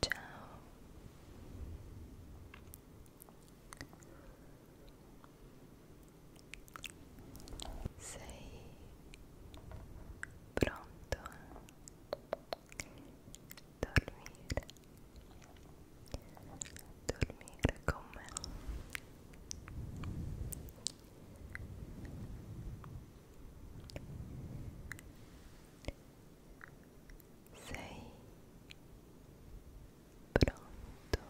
Ciao. Sei pronto a dormire? Dormire con me? Sei pronto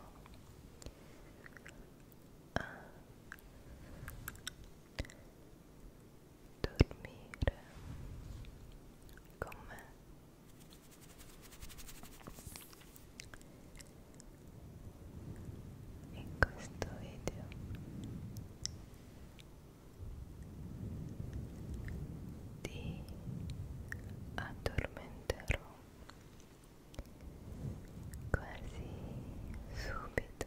a dormire con me? in questo video ti addormenterò quasi subito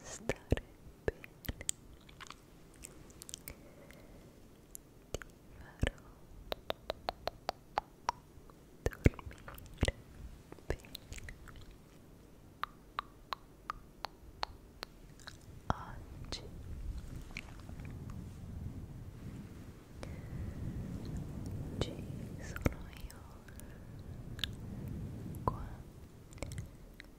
stare bene ti farò dormire bene oggi ci sono io qua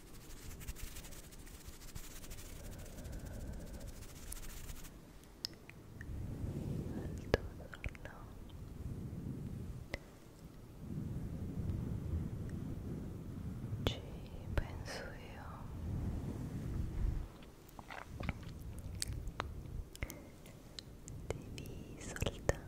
Ci penso io devi soltanto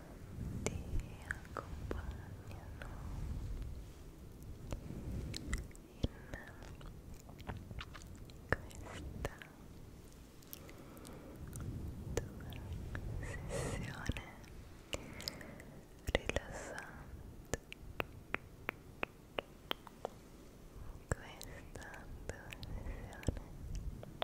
ti accompagnano in questa tua sessione rilassante questa tua sessione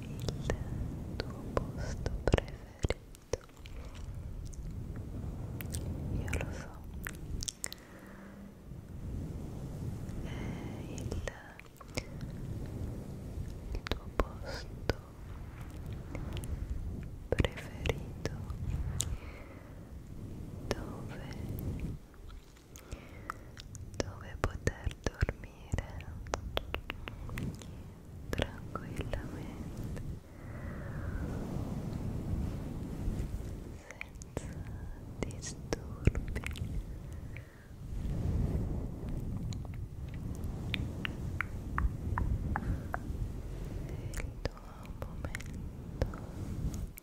il tuo posto preferito io lo so è il, il tuo posto preferito dove dove poter dormire tranquillamente senza disturbi il tuo momento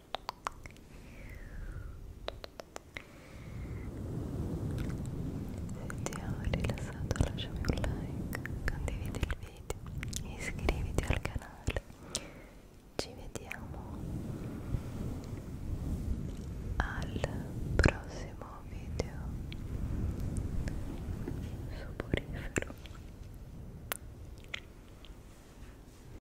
Se ti ho rilassato lasciami un like, condividi il video, iscriviti al canale. Ci vediamo al prossimo video soporifero.